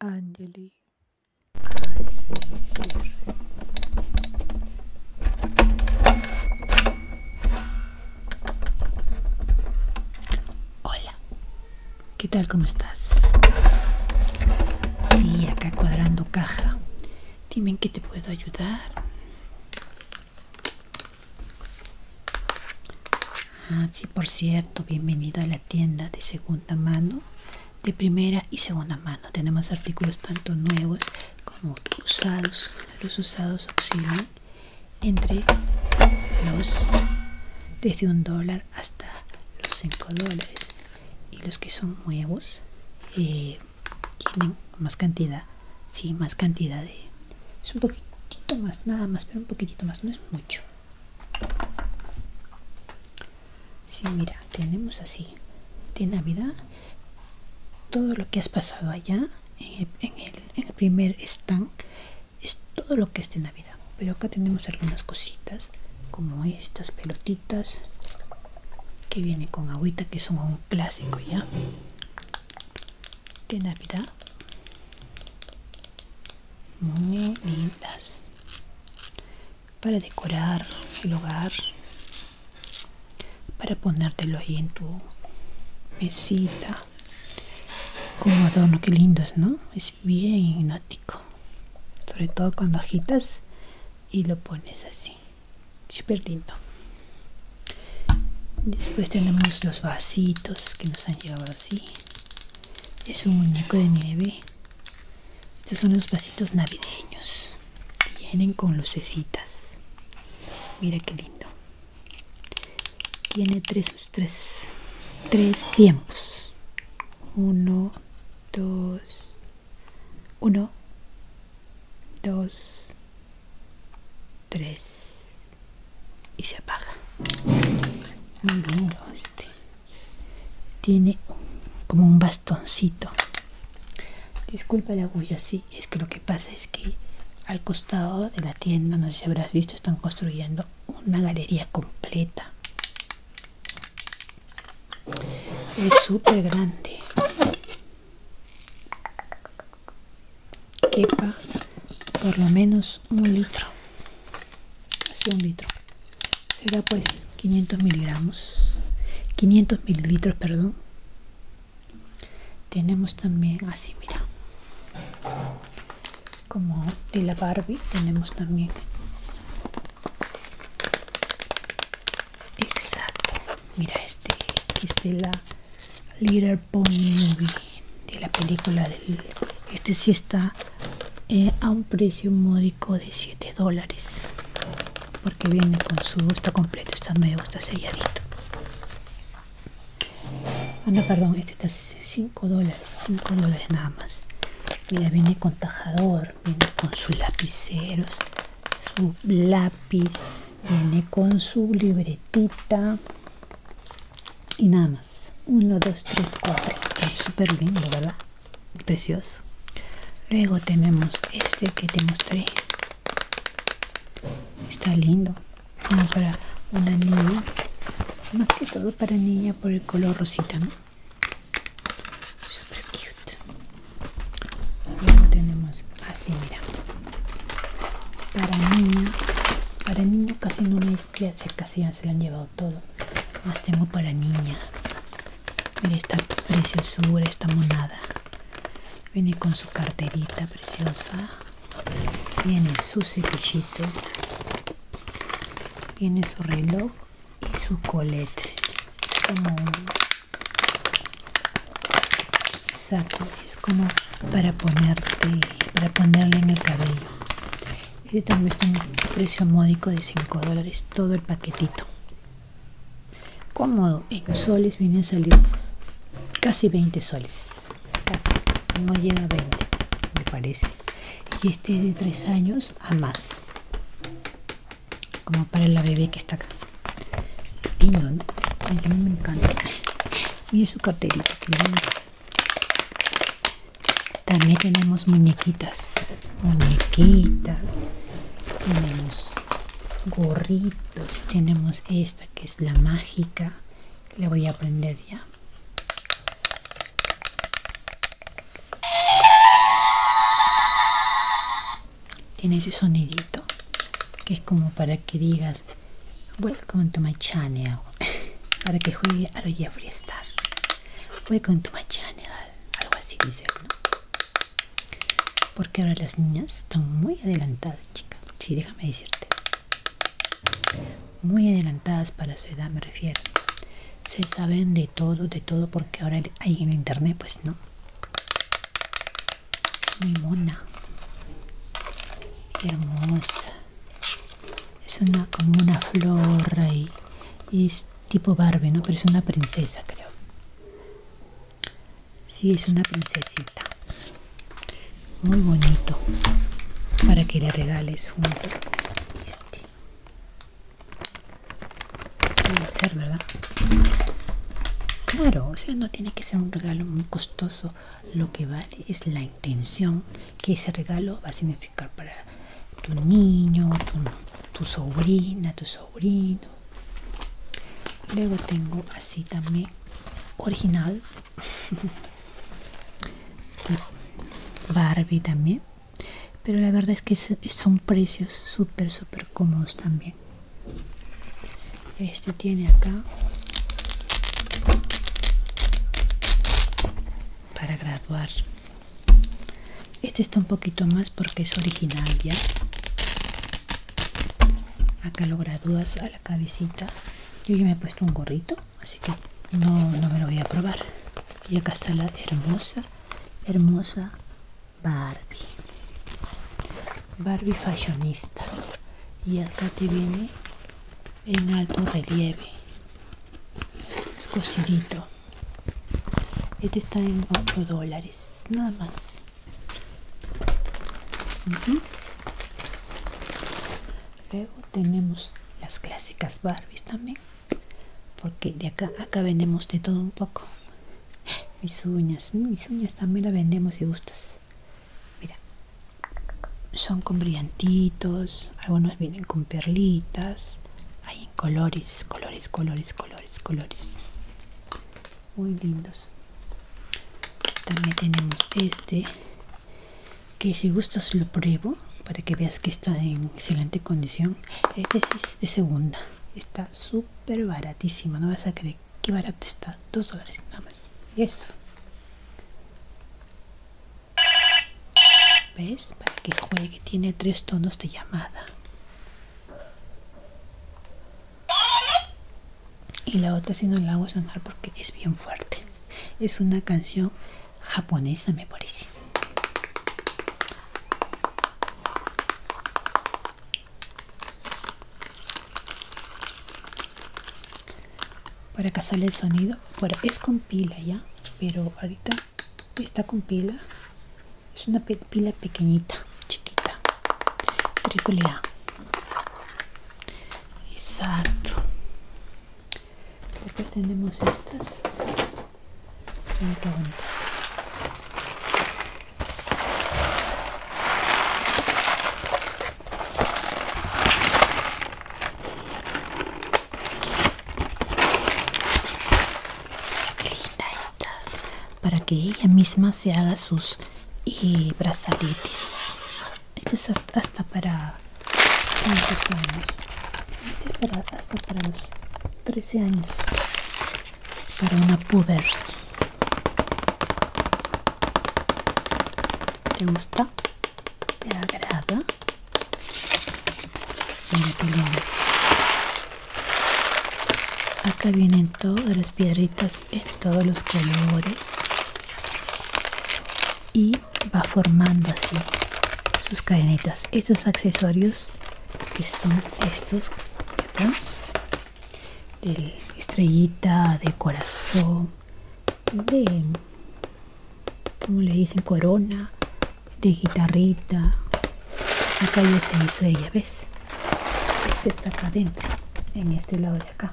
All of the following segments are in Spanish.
Angeli, Hola, ¿qué tal? ¿Cómo estás? Y acá cuadrando caja. Dime que te puedo ayudar. Ah, sí, por cierto, bienvenido a la tienda de segunda mano, de primera y segunda mano. Tenemos artículos tanto nuevos como usados. Los usados oscilan entre los desde un dólar hasta los cinco dólares y los que son nuevos eh, tienen más cantidad sí más cantidad de es un poquitito más nada más pero un poquitito más no es mucho si mira, tenemos así de Navidad todo lo que has pasado allá en el, primer stand es todo lo que es de Navidad. Pero acá tenemos algunas cositas como estas pelotitas que vienen con agüita que son un clásico ya de Navidad muy lindas para decorar el hogar para ponértelo ahí en tu mesita como adorno que es no es bien gnótico sobre todo cuando agitas y lo pones así súper lindo después tenemos los vasitos que nos han llevado así es un muñeco de nieve. Estos son los vasitos navideños. Vienen con lucecitas. Mira qué lindo. Tiene tres, tres, tres tiempos. Uno, dos, uno, dos, tres y se apaga muy este tiene como un bastoncito disculpa la bulla si es que lo que pasa es que al costado de la tienda no sé si habrás visto están construyendo una galería completa es súper grande quepa por lo menos un litro así un litro será pues 500 miligramos 500 mililitros perdón tenemos también así mira como de la barbie tenemos también exacto mira este, este es de la little pony movie de la película del este sí está eh, a un precio módico de 7 dólares porque viene con su está completo está nuevo está selladito ah no perdón este está 5 dólares 5 dólares nada más y mira viene con tajador viene con sus lapiceros su lápiz viene con su libretita y nada más. 1, 2, 3, 4. Es súper lindo, ¿verdad? Precioso. Luego tenemos este que te mostré. Está lindo. Como para una niña. Más que todo para niña por el color rosita, ¿no? Súper cute. Luego tenemos así, mira. Para niña. Para niño casi no me ya casi ya se lo han llevado todo más tengo para niña mira esta preciosura esta monada viene con su carterita preciosa viene su cepillito viene su reloj y su colete como Exacto, es como para ponerte, para ponerle en el cabello. Este también está en un precio módico de 5 dólares, todo el paquetito. Cómodo, en soles viene a salir casi 20 soles. Casi, no llega a 20, me parece. Y este es de 3 años a más. Como para la bebé que está acá. Lindo, ¿no? A me encanta. es su carterito, que lindo. También tenemos muñequitas, muñequitas, tenemos gorritos, tenemos esta que es la mágica, la voy a aprender ya. Tiene ese sonidito que es como para que digas Welcome to my channel. Para que juegue a lo Star Welcome to my channel. Algo así dice, ¿no? Porque ahora las niñas están muy adelantadas, chica. Sí, déjame decirte. Muy adelantadas para su edad, me refiero. Se saben de todo, de todo, porque ahora hay en internet, pues no. muy mona. hermosa es una como una flor y, es tipo Barbie, ¿no? Pero es una princesa, creo. Sí, es una princesita. Muy bonito. Para que le regales un este. Puede ser, ¿verdad? Claro, o sea, no tiene que ser un regalo muy costoso lo que vale es la intención que ese regalo va a significar para tu niño, tu, sobrina, tu sobrino. Luego tengo así también original pues Barbie también. Pero la verdad es que son precios súper, súper cómodos también. Este tiene acá para graduar este está un poquito más porque es original ya acá lo gradúas a la cabecita yo ya me he puesto un gorrito así que no, no me lo voy a probar y acá está la hermosa hermosa Barbie Barbie fashionista y acá te viene en alto relieve es cosidito este está en 8 dólares nada más luego tenemos las clásicas barbies también porque de acá acá vendemos de todo un poco mis uñas mis uñas también la vendemos si gustas mira son con brillantitos, algunos vienen con perlitas, hay en colores, colores, colores, colores, colores. Muy lindos. También tenemos este, que si gustas lo pruebo para que veas que está en excelente condición. Eh, este es de segunda, está súper baratísimo, no vas a creer que barato está, dos dólares nada más. Y eso. ¿Ves? Para que juegue. Tiene tres tonos de llamada. Y la otra si no la a sonar porque es bien fuerte. Es una canción japonesa, me parece para que sale el sonido es con pila ya pero ahorita está con pila es una pila pequeñita chiquita triple exacto después tenemos estas para que ella misma se haga sus eh, brazaletes. Este es hasta para cuántos años. Este para, hasta para los 13 años. Para una puber. ¿Te gusta? ¿Te agrada? Acá vienen todas las piedritas en todos los colores. Y va formando así sus cadenitas. Estos accesorios que son estos De estrellita, de corazón, de como le dicen corona de guitarrita acá ya se hizo ella ves esto está acá adentro en este lado de acá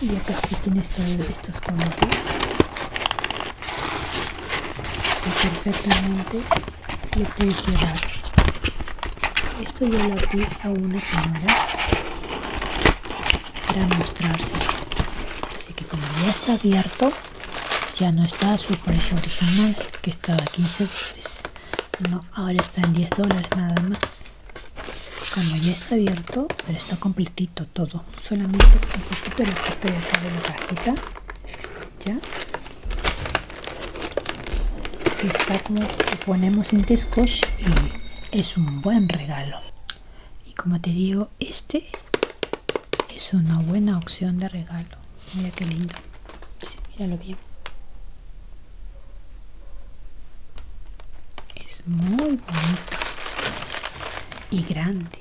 y acá sí tienes todos estos conotes perfectamente le puedes cerrar esto ya lo abrí a una señora para mostrarse Así que como ya está abierto, ya no está a su precio original, que estaba a 15 dólares. No, ahora está en 10 dólares nada más. Como ya está abierto, pero está completito todo. Solamente un poquito el efecto de acá de la cajita. Ya. Está como ponemos en Tescoche y es un buen regalo y como te digo este es una buena opción de regalo mira qué lindo míralo bien es muy bonito y grande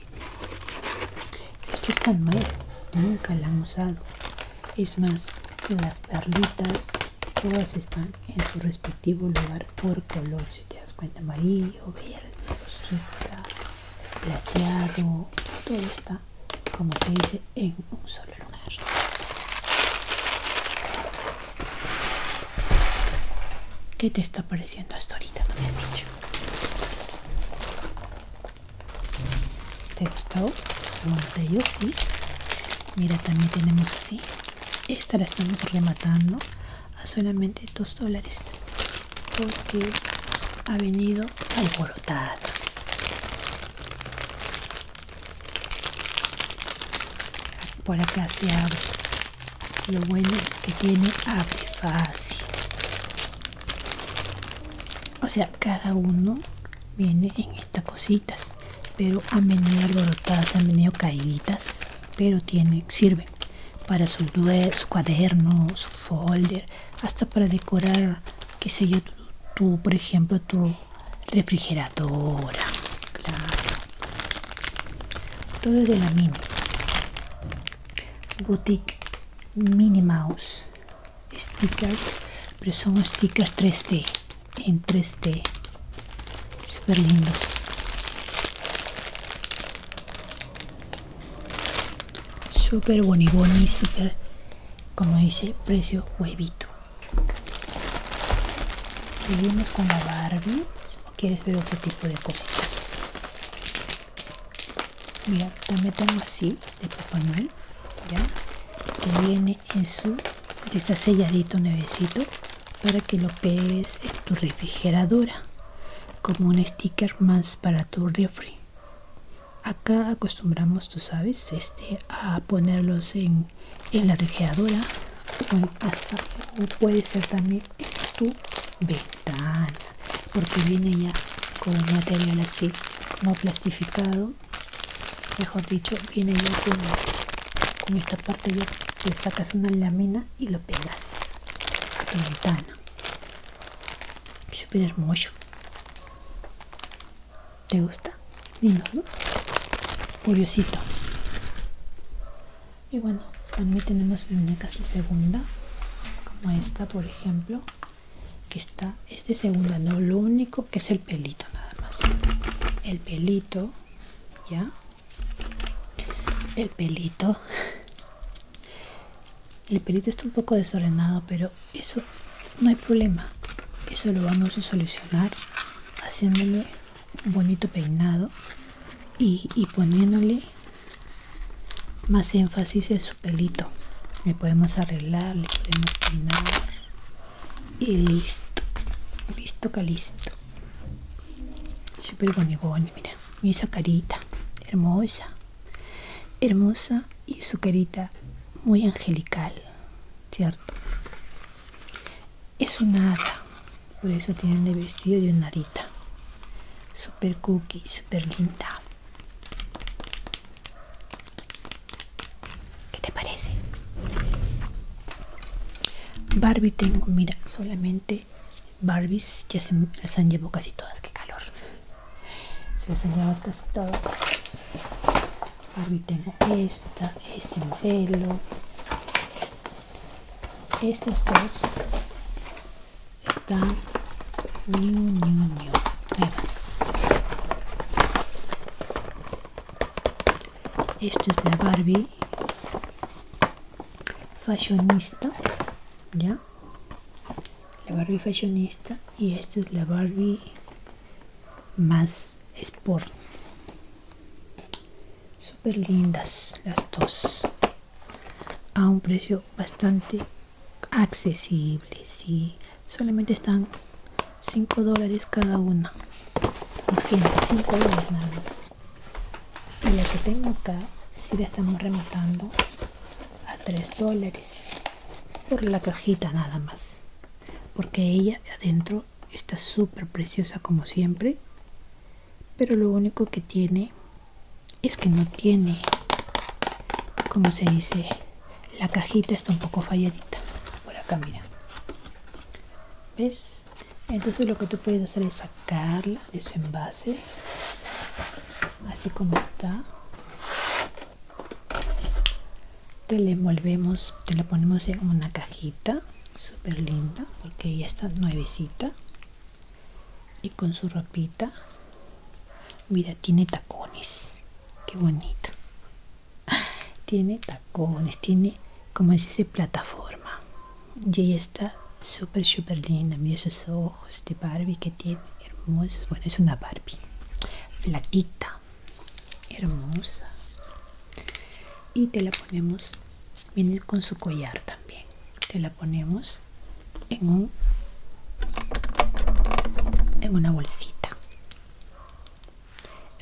esto es tan malo, nunca la han usado es más que las perlitas todas están en su respectivo lugar por color si te das cuenta amarillo verde rosita plateado todo está como se dice en un solo lugar ¿Qué te está pareciendo hasta ahorita? No me has dicho. ¿Te gustó? Bueno, de ellos sí. Mira, también tenemos así esta la estamos rematando a solamente 2 dólares porque ha venido alborotada por acá se abre lo bueno es que tiene abre fácil o sea cada uno viene en esta cosita pero a venido alborotadas han venido caídas pero sirven para su, su cuaderno su folder hasta para decorar que sé yo tú por ejemplo tu refrigeradora claro todo es de la mini boutique mini mouse stickers pero son stickers 3d entre este super lindos super boniboni súper como dice precio huevito seguimos con la barbie o quieres ver otro tipo de cositas mira también tengo así de papá noel ya que viene en su está selladito nevecito, para que lo pegues en tu refrigeradora como un sticker más para tu refri acá acostumbramos tú sabes este a ponerlos en, la refrigeradora o hasta puede ser también en tu ventana porque viene ya con material así como plastificado mejor dicho viene ya con, con esta parte ya le sacas una lámina y lo pegas a tu ventana súper hermoso ¿te gusta? lindo ¿no? curiosito y bueno también tenemos muñecas de segunda como esta por ejemplo que está es de segunda no lo único que es el pelito nada más el pelito ya el pelito el pelito está un poco desordenado pero eso no hay problema eso lo vamos a solucionar haciéndole un bonito peinado y, poniéndole más énfasis en su pelito le podemos arreglar le podemos peinar y listo listo calisto súper boni mira mi esa carita hermosa hermosa y su carita muy angelical cierto es una hada por eso tienen el vestido de un narita super cookie super linda ¿Qué te parece? Barbie tengo, mira, solamente Barbies ya se las han llevado casi todas, qué calor. Se las han llevado casi todas. Barbie tengo esta, este modelo. Estas dos están new, new, new, nuevas. Esta es la Barbie fashionista ya la Barbie fashionista y esta es la Barbie más sport super lindas las dos a un precio bastante accesible sí solamente están 5 dólares cada una Imagínate, 5 dólares nada más. Y la que tengo acá, si la estamos rematando a 3 dólares por la cajita nada más. Porque ella adentro está súper preciosa como siempre. Pero lo único que tiene es que no tiene, como se dice, la cajita está un poco falladita. Por acá, mira. ¿Ves? entonces lo que tú puedes hacer es sacarla de su envase así como está te la envolvemos te la ponemos en una cajita súper linda porque ya está nuevecita y con su ropita mira tiene tacones qué bonito tiene tacones, tiene como dice plataforma. Y está súper, súper linda. Mira esos ojos de Barbie que tiene, hermosos. Bueno, es una Barbie, platita hermosa. Y te la ponemos, viene con su collar también. Te la ponemos en un en una bolsita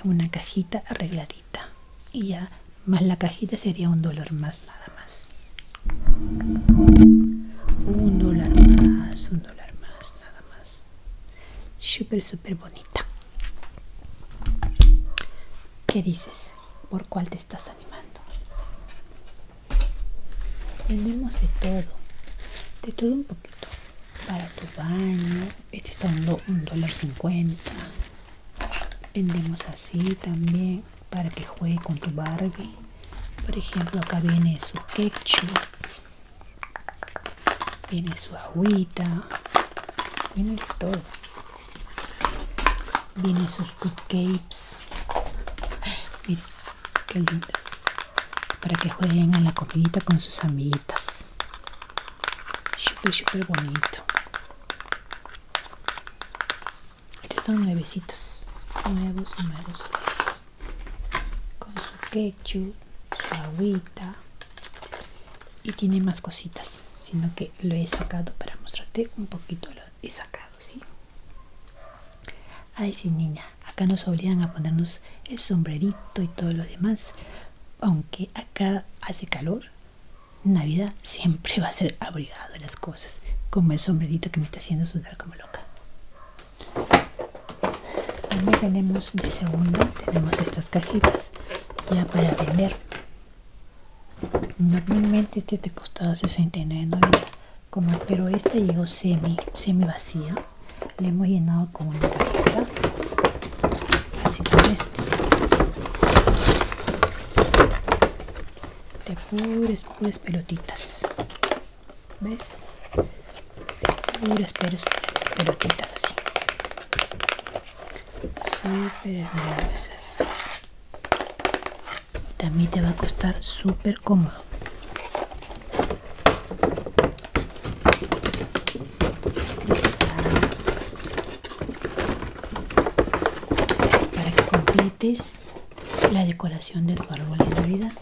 en una cajita arregladita y ya más la cajita sería un dólar más nada más un dólar más un dólar más nada más súper súper bonita ¿Qué dices? ¿Por cuál te estás animando? Tenemos de todo, de todo un poquito. Para tu baño, este está dando un dólar cincuenta vendemos así también para que juegue con tu Barbie por ejemplo acá viene su ketchup viene su agüita viene de todo viene sus cupcakes miren qué lindas para que jueguen en la comidita con sus amiguitas Súper, súper bonito. Estos son nuevecitos. Nuevos, nuevos, nuevos. Con su ketchup, su agüita. Y tiene más cositas. Sino que lo he sacado para mostrarte un poquito. Lo he sacado, ¿sí? Ay, sí, niña. Acá nos obligan a ponernos el sombrerito y todo lo demás. Aunque acá hace calor, Navidad siempre va a ser abrigado las cosas, como el sombrerito que me está haciendo sudar como loca. También tenemos de segundo, tenemos estas cajitas ya para vender. Normalmente este te costaba 69.90, como pero esta llegó semi, semi vacía. Le hemos llenado con una cajita así como este de puras, pelotitas ves de puras, puras pelotitas así súper hermosas también te va a costar súper cómodo para que completes la decoración de tu árbol de Navidad.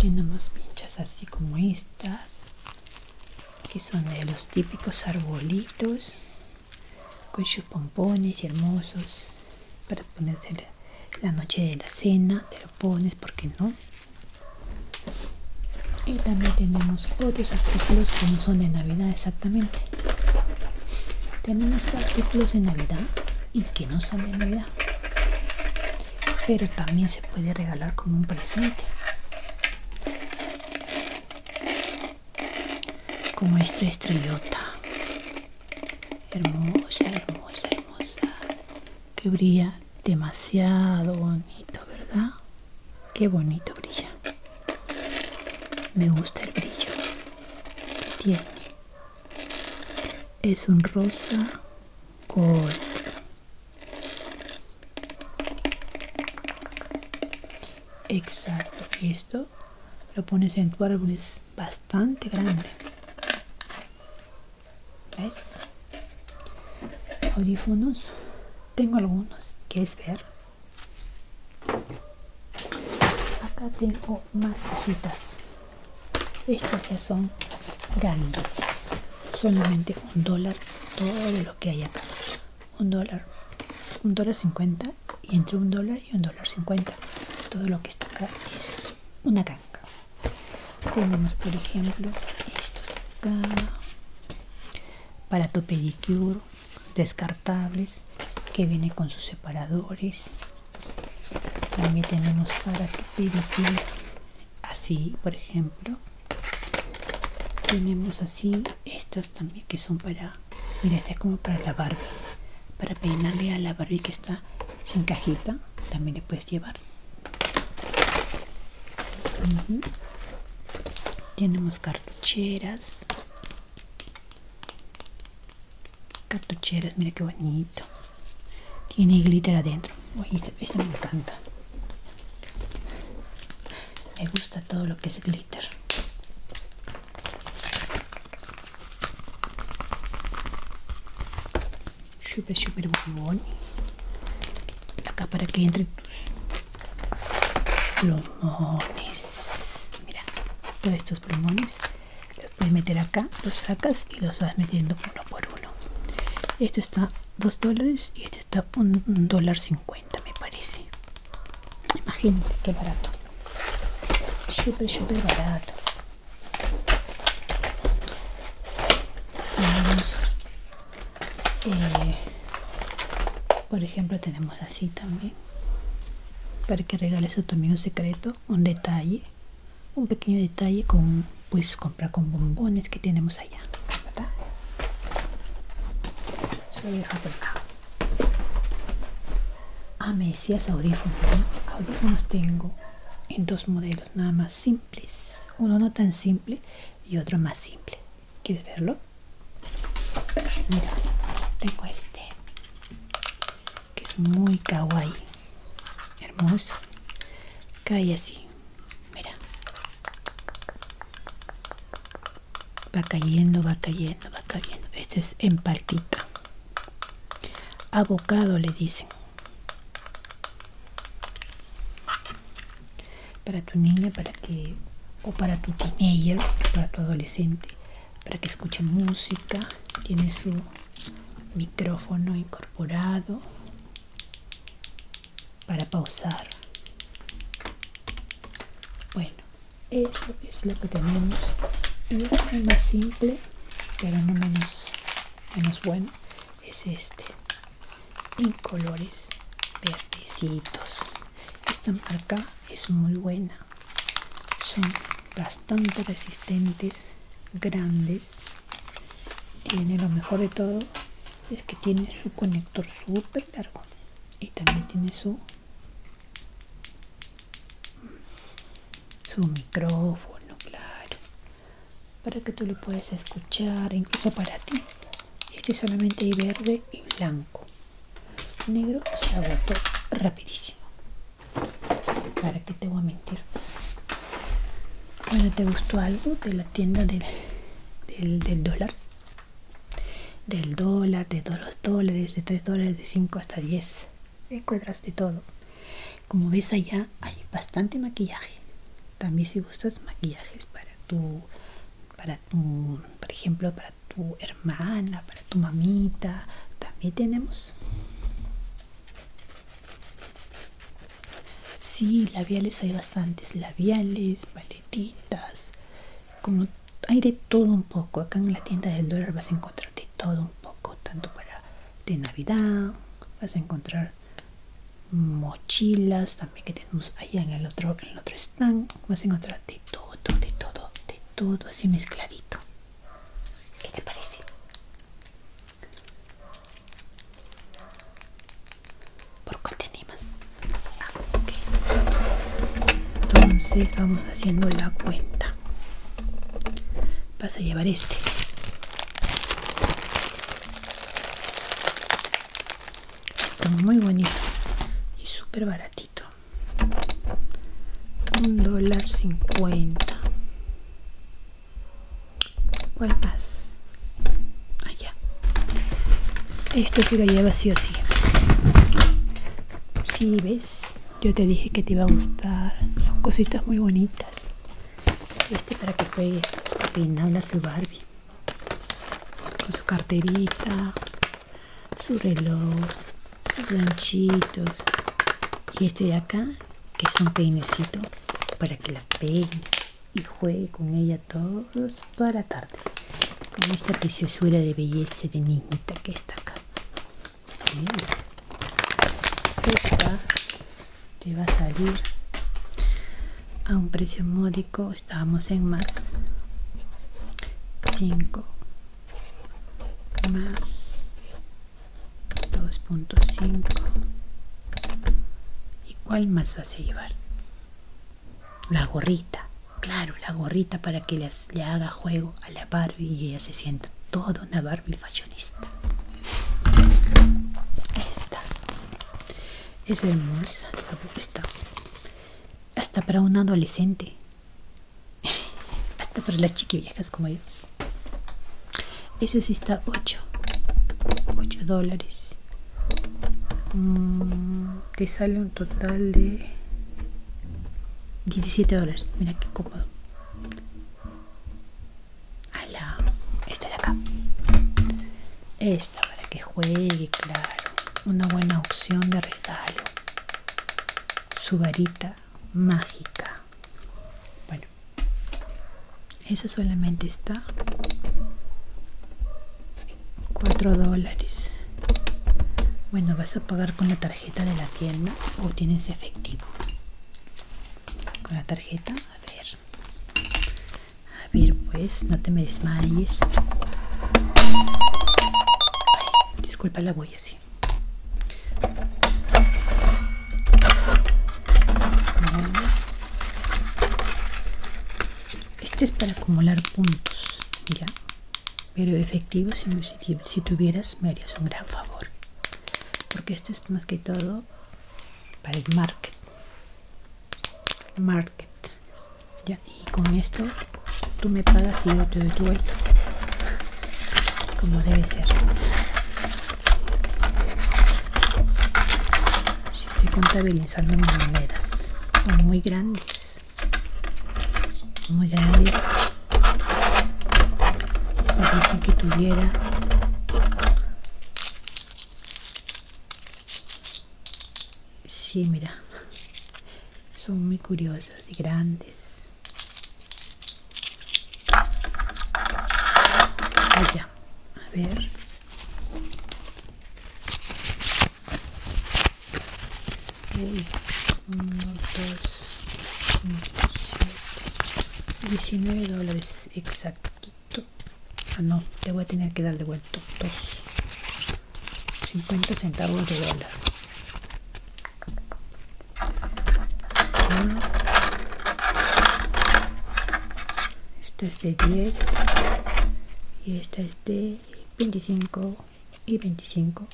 tenemos pinchas así como estas, que son de los típicos arbolitos, con sus pompones hermosos, para ponerse la, la noche de la cena, te lo pones, porque no? y también tenemos otros artículos que no son de navidad exactamente tenemos artículos de navidad y que no son de navidad pero también se puede regalar como un presente como esta estrellota hermosa hermosa hermosa que brilla demasiado bonito, ¿verdad? Qué bonito brilla. Me gusta el brillo que tiene. Es un rosa color Exacto. Y esto lo pones en tu árbol. Es bastante grande. ¿Ves? Audífonos. Tengo algunos. es ver? Acá tengo más cositas. Estas ya son grandes. Solamente un dólar todo lo que hay acá. Un dólar. Un dólar cincuenta. Y entre un dólar y un dólar cincuenta. Todo lo que está acá es una canca tenemos por ejemplo estos acá para tu pedicure descartables que viene con sus separadores también tenemos para tu pedicure así por ejemplo tenemos así estos también que son para mira este es como para la barbie para peinarle a la barbie que está sin cajita también le puedes llevar tenemos cartucheras cartucheras mira qué bonito tiene glitter adentro me encanta me gusta todo lo que es glitter Super súper bombón acá para que entre tus plumones mira todos estos plumones los puedes meter acá los sacas y los vas metiendo uno por uno este está 2 dólares y este está un dólar cincuenta me parece imagínate qué barato super super barato eh, por ejemplo, tenemos así también. Para que regales a tu amigo secreto un detalle, un pequeño detalle con, pues comprar con bombones que tenemos allá. Ah, me decías audífonos. Audífonos tengo en dos modelos nada más, simple. Uno no tan simple y otro más simple. ¿Quieres verlo? Mira, tengo este. Que es muy kawaii. Hermoso. Cae así. Mira. Va cayendo, va cayendo, va cayendo. Este es en paltita. Abocado le dicen para tu niña para que o para tu teenager para tu adolescente para que escuche música tiene su micrófono incorporado para pausar bueno eso es lo que tenemos es más simple pero no menos menos bueno es este en colores verdecitos esta marca es muy buena son bastante resistentes grandes tiene lo mejor de todo es que tiene su conector super largo y también tiene su su micrófono claro para que tú lo puedas escuchar incluso para ti este solamente hay verde y blanco negro se agotó rapidísimo para que te voy a mentir bueno te gustó algo de la tienda del, del, del dólar del dólar de todos los dólares de 3 dólares de 5 hasta 10 encuentras de todo como ves allá hay bastante maquillaje. También si gustas maquillajes para tu, para tu, por ejemplo, para tu hermana, para tu mamita, también tenemos. Sí, labiales hay bastantes, labiales, paletitas, como hay de todo un poco. Acá en la tienda del dólar vas a encontrar de todo un poco, tanto para de Navidad. Vas a encontrar mochilas también que tenemos allá en el otro, en el otro stand. Vas a encontrar de todo, de todo, de todo, así mezcladito. ¿Qué te parece? ¿Por cuál tenemos ah, Entonces vamos haciendo la cuenta. Vas a llevar este muy bonito y súper baratito. Un dólar cincuenta. ¿Cuál más? Allá. Esto se lo lleva sí o sí. si ves, yo te dije que te iba a gustar. Son cositas muy bonitas. Este para que juegue a su Barbie. Con su carterita, su reloj, sus ganchitos. Y este de acá, que es un peinecito para que la peine y juegue con ella todos, toda la tarde. Con esta preciosura de belleza de niñita que está acá esta te va a salir a un precio módico estábamos en más 5 más 2.5 y cuál más vas a llevar la gorrita claro la gorrita para que le haga juego a la Barbie y ella se sienta toda una Barbie mi Fashionista. Esta es hermosa, esta. Hasta para un adolescente. Hasta para las viejas como yo. Ese sí está 8. 8 dólares. Mm, te sale un total de 17 dólares. Mira qué copa a la esta de acá esta para que juegue claro una buena opción de regalo su varita mágica bueno esa solamente está 4 dólares bueno vas a pagar con la tarjeta de la tienda o tienes efectivo con la tarjeta a ver a ver pues no te me desmayes disculpa la voy así este es para acumular puntos ya pero efectivo si, tuvieras me harías un gran favor porque este más que todo para el market market ya y con esto tú me pagas y yo te doy tu como debe ser si estoy contabilizando las son muy grandes muy grandes me que que tuviera. Sí, mira. Son muy curiosos y grandes. A ver. dos. 19 dólares exactito ah no te voy a tener que dar de vuelta 50 centavos de dólar este esta es de 10 y esta es de 25 y 25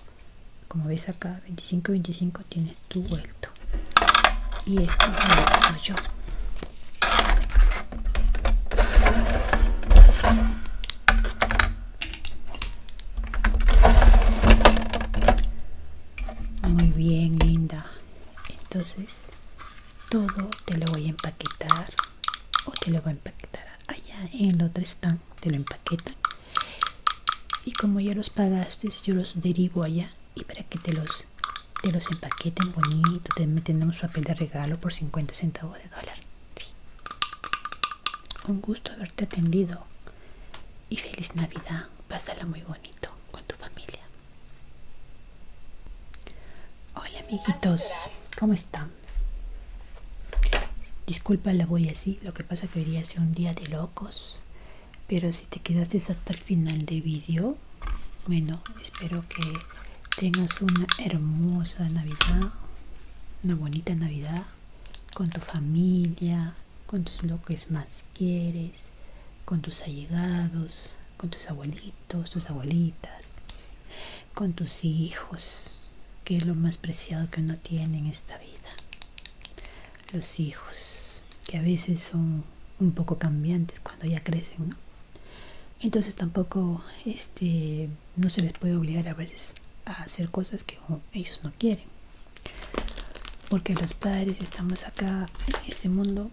como ves acá 25 25 tienes tu vuelta y esto lo yo muy bien linda entonces todo te lo voy a empaquetar o te lo voy a empaquetar allá en el otro stand te lo empaquetan y como ya los pagaste yo los derivo allá y para que te los, los empaqueten bonito, te meten un papel de regalo por 50 centavos de dólar. Un gusto haberte atendido y feliz Navidad. Pásala muy bonito con tu familia. Hola amiguitos, ¿cómo están? Disculpa la voy así, lo que pasa que hoy día es un día de locos pero si te quedaste hasta el final de vídeo bueno espero que tengas una hermosa navidad una bonita navidad con tu familia con tus lo que más quieres con tus allegados con tus abuelitos tus abuelitas con tus hijos que es lo más preciado que uno tiene en esta vida los hijos, que a veces son un poco cambiantes cuando ya crecen, Entonces tampoco este, no se les puede obligar a veces a hacer cosas que ellos no quieren. Porque los padres estamos acá en este mundo,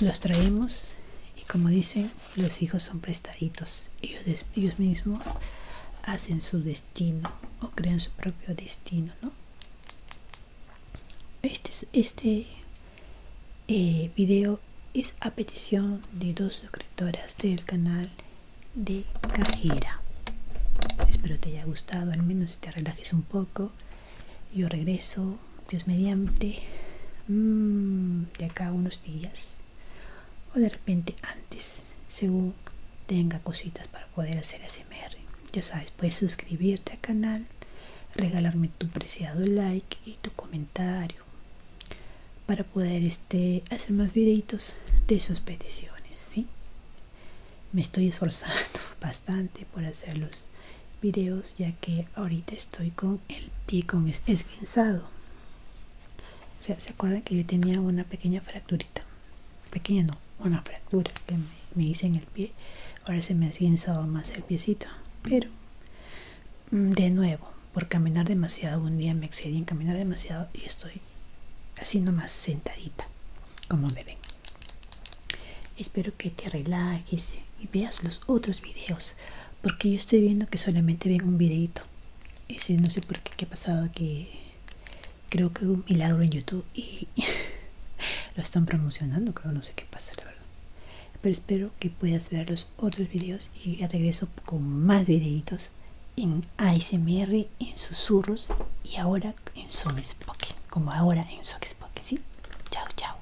los traemos y como dicen, los hijos son prestaditos. Ellos, ellos mismos hacen su destino o crean su propio destino, ¿no? Este, este eh, video es a petición de dos suscriptoras del canal de Cajera. Espero te haya gustado, al menos si te relajes un poco. Yo regreso, Dios mediante, mm, de acá unos días o de repente antes, según tenga cositas para poder hacer SMR Ya sabes, puedes suscribirte al canal, regalarme tu preciado like y tu comentario para poder este, hacer más videitos de sus peticiones. Me estoy esforzando bastante por hacer los videos ya que ahorita estoy con el pie con esguinzado. O sea, ¿se acuerdan que yo tenía una pequeña fractura? pequeño pequeña, no, una fractura que me, hice en el pie. Ahora se me ha cinzado más el piecito, pero mm, de nuevo, por caminar demasiado, un día me excedí en caminar demasiado y estoy haciendo más sentadita, como me ven. Espero que te relajes y veas los otros videos, porque yo estoy viendo que solamente ven un videito. si no sé por qué, qué ha pasado que creo que un milagro en YouTube y lo están promocionando, creo, no sé qué pasa, la verdad. Pero espero que puedas ver los otros videos y regreso con más videitos en ASMR, en susurros y ahora en Song como ahora en Song Spoken, ¿sí? Chao, chao.